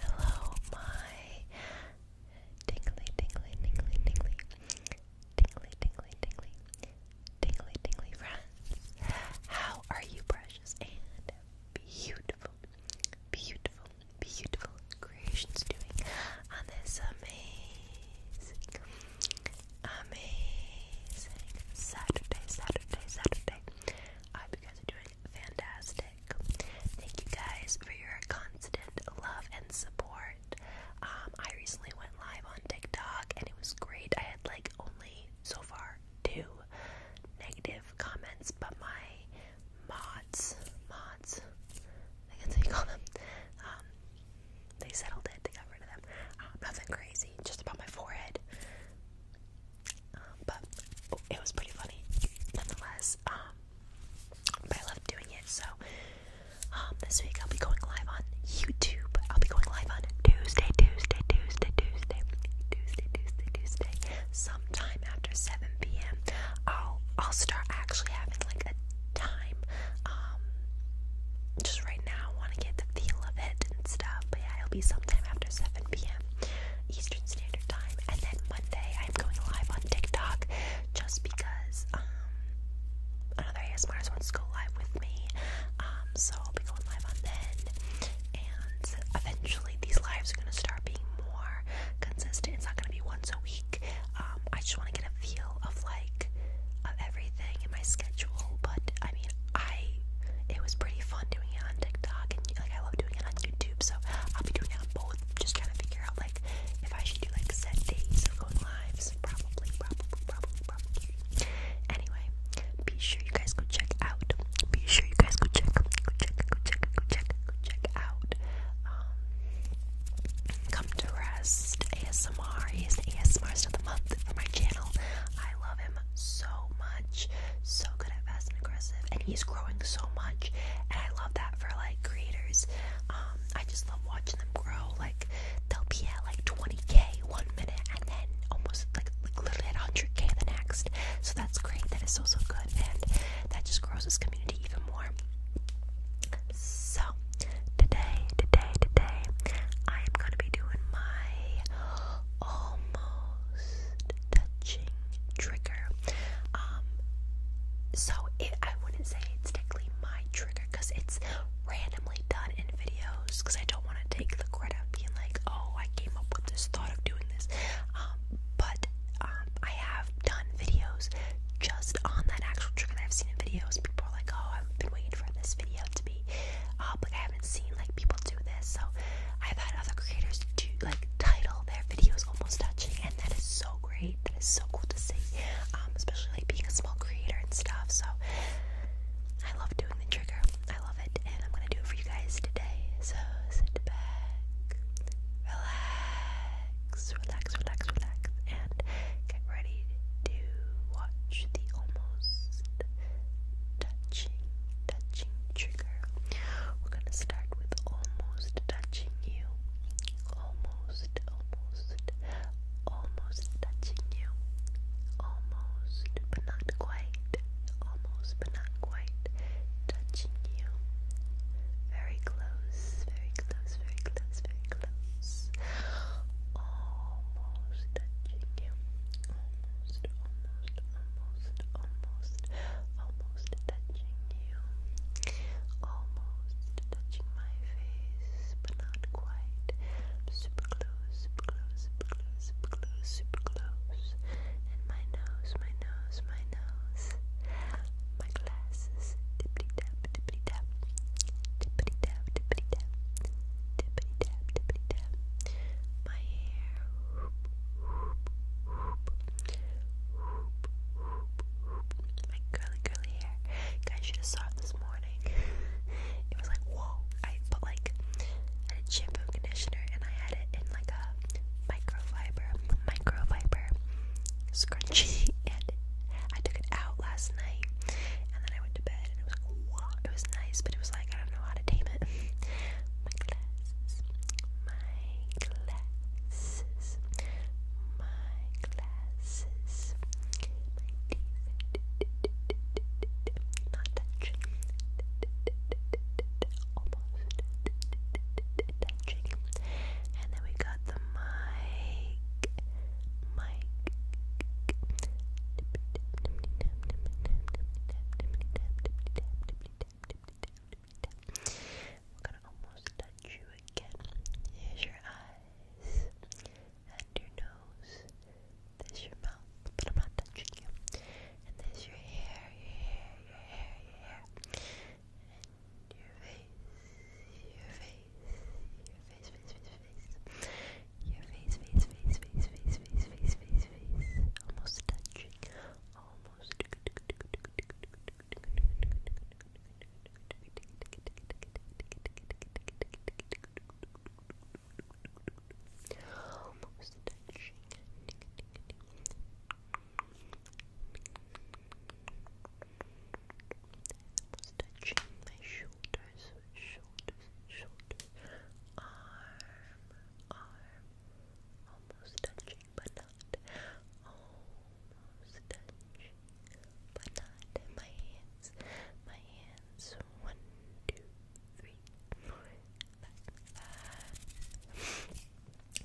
hello, my tingly, tingly, tingly, tingly, tingly, tingly, tingly, tingly friends. How are you, precious and beautiful, beautiful, beautiful creations doing on this amazing, amazing Saturday, Saturday, Saturday? I hope you guys are doing fantastic. Thank you guys for your constant love and support. Um, I recently went live on TikTok and it was great. I had like only so far two negative comments, but my mods, mods, I think that's call them. Um, they settled it. They got rid of them. Uh, nothing crazy. Just about my forehead but oh, it was pretty funny nonetheless. Um, but I love doing it. So um, this week I'll be going live on YouTube. I'll be going live on Tuesday, Tuesday, Tuesday, Tuesday, Tuesday, Tuesday, Tuesday. Sometime after 7 p.m. I'll I'll start actually having like a time. Um, just right now, I want to get the feel of it and stuff. But yeah, it'll be sometime after 7 p.m. Eastern Standard Time, and then Monday I'm going live on TikTok just because um another ASMRs wants to go live with me. Um, so I'll be going live on then, and eventually these lives are gonna start being more consistent. It's not gonna be once a week. Um, I just want to get a feel of like of everything in my schedule, but I mean I it was pretty fun doing it on TikTok and like I love doing it on YouTube, so I'll be doing it on both. Just trying to figure out like if I should do like set days of going lives. Probably, probably, probably, probably. Anyway, be sure you guys go check out. Be sure you guys go check, go check, go check, go check, go check out. Um, come to rest ASMR is the of the month for my channel. I love so much. So good at fast and aggressive, and he's growing so much. And I love that for like creators. Um, I just love watching them grow. Like they'll be at like 20k one minute, and then almost like, like literally at 100k the next. So that's great. That is so so good, and that just grows this community even more. So today, today, today, I am gonna be doing my almost touching trigger. Um, so it, I wouldn't say it's technically my trigger because it's randomly done in videos because I don't want to take the credit of being like, oh, I came up with this thought of doing this. Um, but um, I have done videos just on that actual trigger I've seen in videos. People are like, oh, I've been waiting for this video to be up. like I haven't seen like people do this. So I've had other creators do like title their videos almost touching, and that is so great. That is so cool to see, um, especially like being a small creator and stuff. So I love doing the trigger. I love it, and I'm gonna do it for you guys today. So sit back, relax, relax, relax, relax, and get ready to watch the almost touching touching trigger. We're gonna start with almost touching you. Almost, almost, almost touching you. Almost, but not quite. Almost, but not quite. Touching you. Very close, very close, very close, very close. Almost touching you. Almost almost, almost, almost, almost touching you, almost touching my face, but not quite. Super close, super close, super close, super close, super close. And my nose, my nose, my nose. My glasses, tippity tap, tippity tap, tippity tap, tippity tap, tippity tap, tippity tap my hair. My curly, curly hair. Guys, should have saw it this morning. it was like, whoa. I put like, I did shampoo and conditioner and I had it in like a microfiber, microfiber scrunchie. and I took it out last night and then I went to bed and it was It was nice, but it was like, I don't know how to tame it. my glasses, my glasses, my glasses, not touching, almost touching, and then we got the mic, mic. We're gonna almost touch you again. Here's your eyes and your nose. There's your mouth, but I'm not touching you. And there's your hair, your hair, your hair, your hair. And your face, your face, your face, face, face, face. Your face, face, face, face, face, face, face, face, face. Almost touching. Almost almost almost touching almost touching my shoulders, shoulders, shoulders arm, arm almost touching but not, almost touching but not, my hands, my hands, one, two, three, four, five,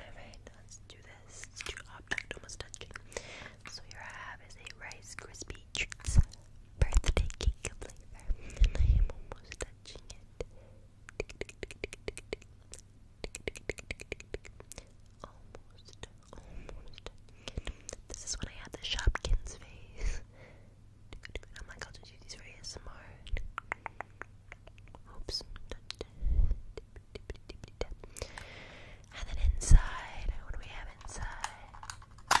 alright, let's do this, let's almost touching, so here I have is a Rice Krispie Treats birthday cake flavor, almost touching it, Almost, almost. This is when I had the Shopkins face. I'm like, I'll just use these for ASMR. Oops. And then inside, what do we have inside?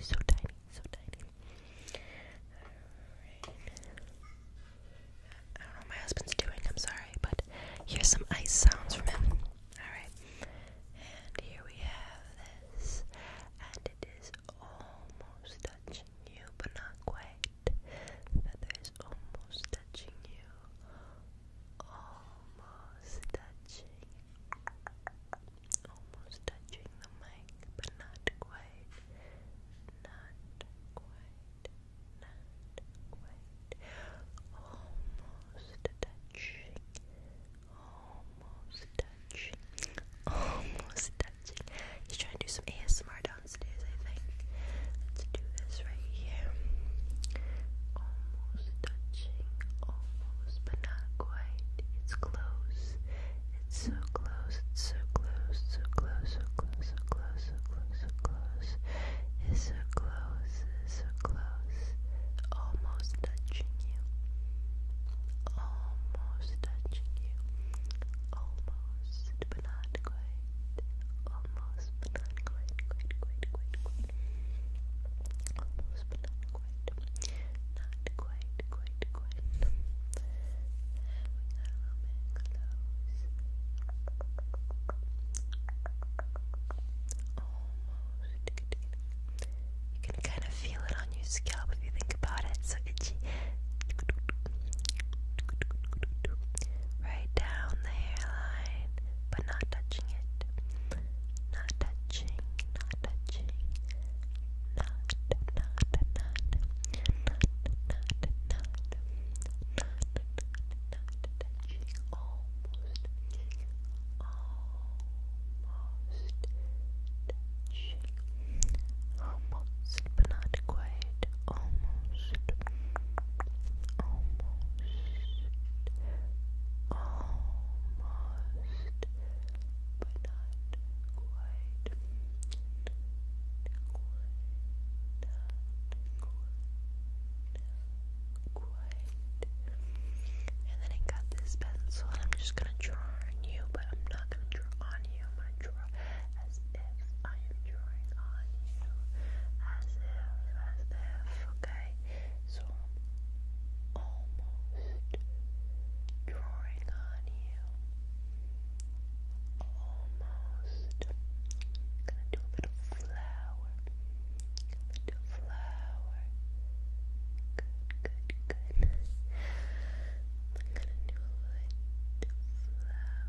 so tiny, so tiny. I don't know my husband's doing, I'm sorry, but here's some ice sounds from him. Alright. And here we have this. And it is almost touching you, but not quite feathers almost touching you, almost touching, almost touching the mic, but not quite, not quite, not quite, almost touching, almost touching, almost touching. He's trying to do some ASMR downstairs, I think. Let's do this right here. Almost touching, almost, but not quite. It's close. It's so close, it's so close, so close, so close, so close, so close, so close. It's so close, it's so close. Almost touching you. Almost touching you. Almost but not quite. Almost, not quite, quite, quite, quite, Almost, not quite. Not quite, quite, quite. Having a roman close. Almost. You can kind of feel it on your scalp if you think about it. So itchy right down the hairline, but not touching it. Not touching, not touching. Not, not, not, not, not, not, not, not, not touching. Almost, almost touching. Almost, but not quite almost, almost, almost, but not quite, quite, not quite, quite. And then I got this pencil, and I'm just gonna draw on you, but I'm not gonna draw on you. I'm gonna draw as if I am drawing on you as if, as if, okay? So almost drawing on you. Almost. gonna do a little flower. going flower. Good, good, good. gonna do a little flower.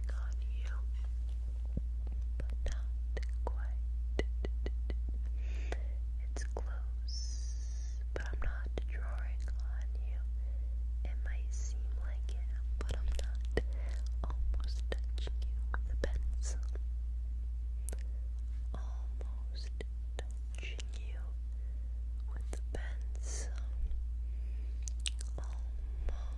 work on you, but not quite. It's close, but I'm not drawing on you. It might seem like it, but I'm not almost touching you with a pencil. Almost touching you with the pencil. Almost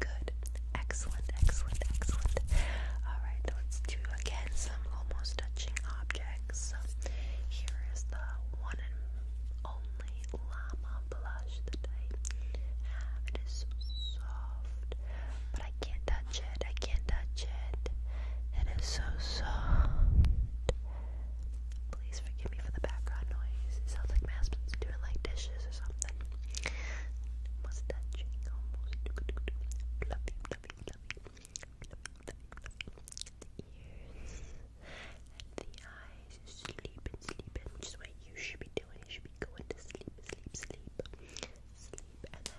Good. Excellent, excellent, excellent. Alright, let's do again some almost touching objects. Here is the one and only llama blush that I have. It is soft, but I can't touch it. I can't touch it. and It is so soft. Please forgive me for the background noise. sounds like my husband's doing like dishes lashes The ears the eyes. Sleeping, sleeping. Which is what you should be doing. You should be going to sleep, sleep, sleep. Sleep and then.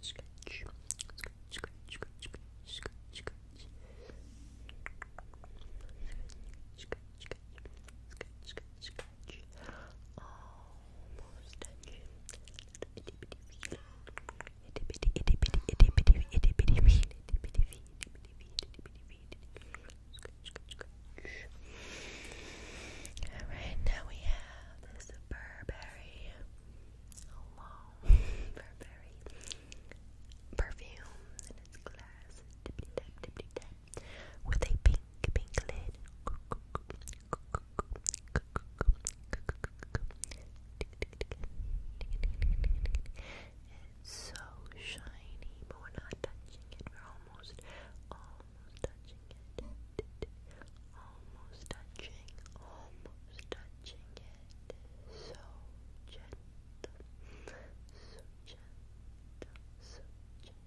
scratch, scratch, scratch, scratch, scratch, scratch, scratch. Scratch, scratch, scratch, scratch, scratch. Almost touching. Itty bitty feet. Itty bitty, itty bitty, itty bitty, itty bitty feet. Itty bitty feet, itty bitty feet, itty bitty feet. Scratch, scratch, scratch. Alright, now we have this Burberry long Burberry perfume and it's glass with a pink pink lid so shiny but we're not touching it we're almost almost touching it almost touching almost touching touching it so gentle, so gentle, so gentle.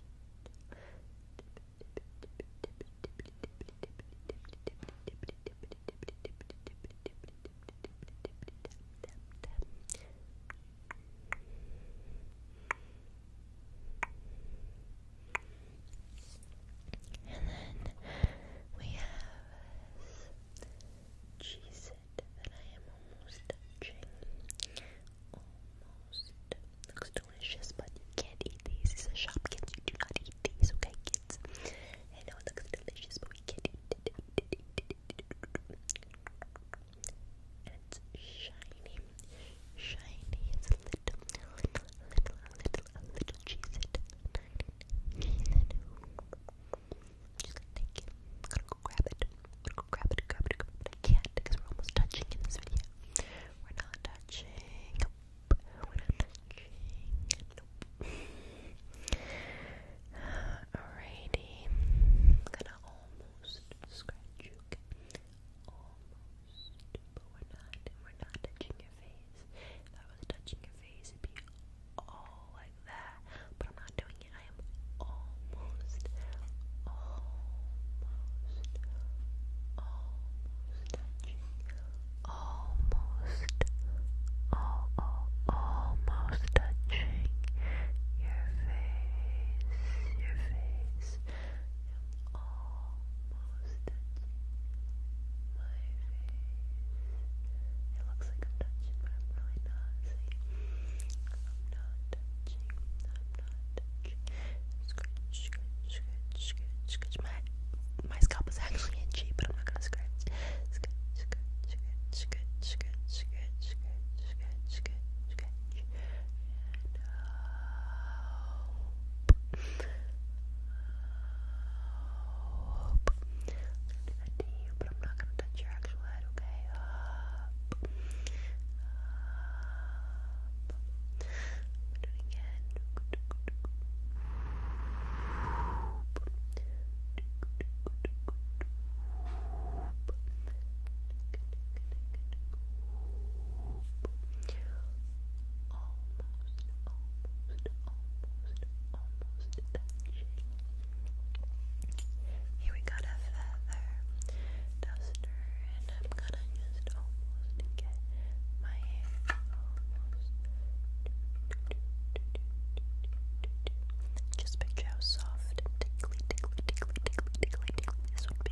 And then we have cheese I am almost touching. Almost. Looks delicious, but you can't eat these. It's a shop, You do not eat these, okay, kids? I know it looks delicious, but we can't eat it. And it's shiny, shiny. It's a little, little, little, little, little cheese and then I'm gonna go grab it. I'm gonna go grab it, grab it, grab it. I can't because we're almost touching in this video. We're not touching. We're not touching. Alrighty. I'm gonna almost scratch you. Almost. But we're not. We're not touching your face face. If I was touching your face, it'd be all like that. But I'm not doing it. I am almost, almost, almost touching. Almost, all, all, almost touching your face. Your face. I'm almost touching my face. It looks like I'm touching, but I'm really not. I'm not touching. I'm not touching. Scratch, scratch, scratch, scratch, scratch. My my scalp is actually itchy, but I'm not gonna scratch. Scratch, scratch, scratch, scratch, scratch, scratch, scratch, scratch, scratch, scratch. And up. I'm gonna do that to you, but I'm not gonna touch your actual head, okay? Up. Up. I'm gonna do it again. Almost, almost, almost, almost, almost touching. Here we got a feather duster, and I'm gonna just almost get my hair almost. Just picture how soft tickly, tickly, tickly, tickly, tickly, tickly this would be.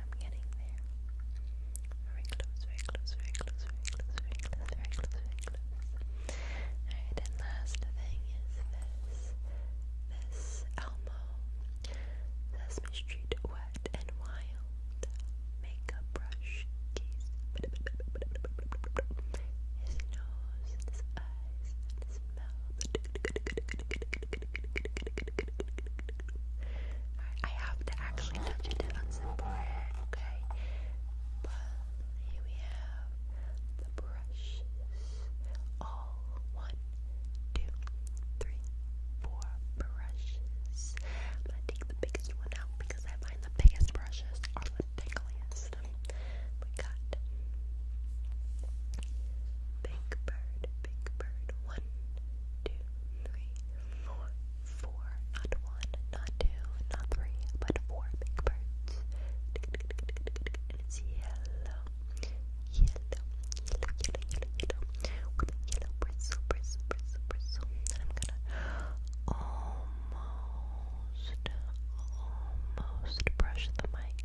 I'm getting there. Very close, very close, very close, very close, very close, very close, very close. Alright, and last thing is this. This Elmo says mistreat wet and wild makeup brush case. His nose and his eyes and his mouth. I have to actually touch it on some bread, okay? But here we have the brushes. All one, two, three, four brushes. i take the biggest one out because I find the biggest brushes are the tickliest. We got Big Bird, Big Bird, one, two, three, four, four, not one, not two, not three, but four big birds. yellow, yellow, yellow, yellow, yellow, yellow, with a yellow bristle, bristle, bristle, bristle. And I'm gonna almost, almost brush the mic.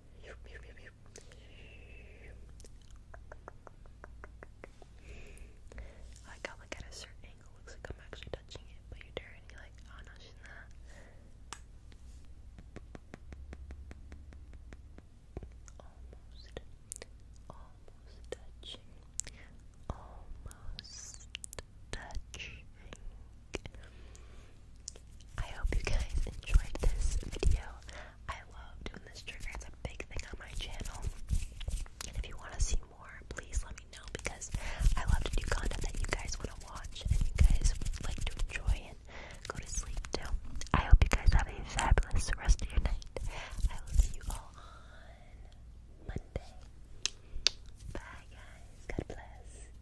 I like like at a certain angle looks like I'm actually touching it, but you're dirty like oh no she's not almost almost touching almost touching I hope you guys enjoyed this video. I love doing this trigger, it's a big thing on my channel. And if you want to see more, please let me know because I love to do content that you guys want to watch and you guys like to enjoy and go to sleep to. I hope you guys have a fabulous rest of your night. I will see you all on Monday. Bye, guys. God bless.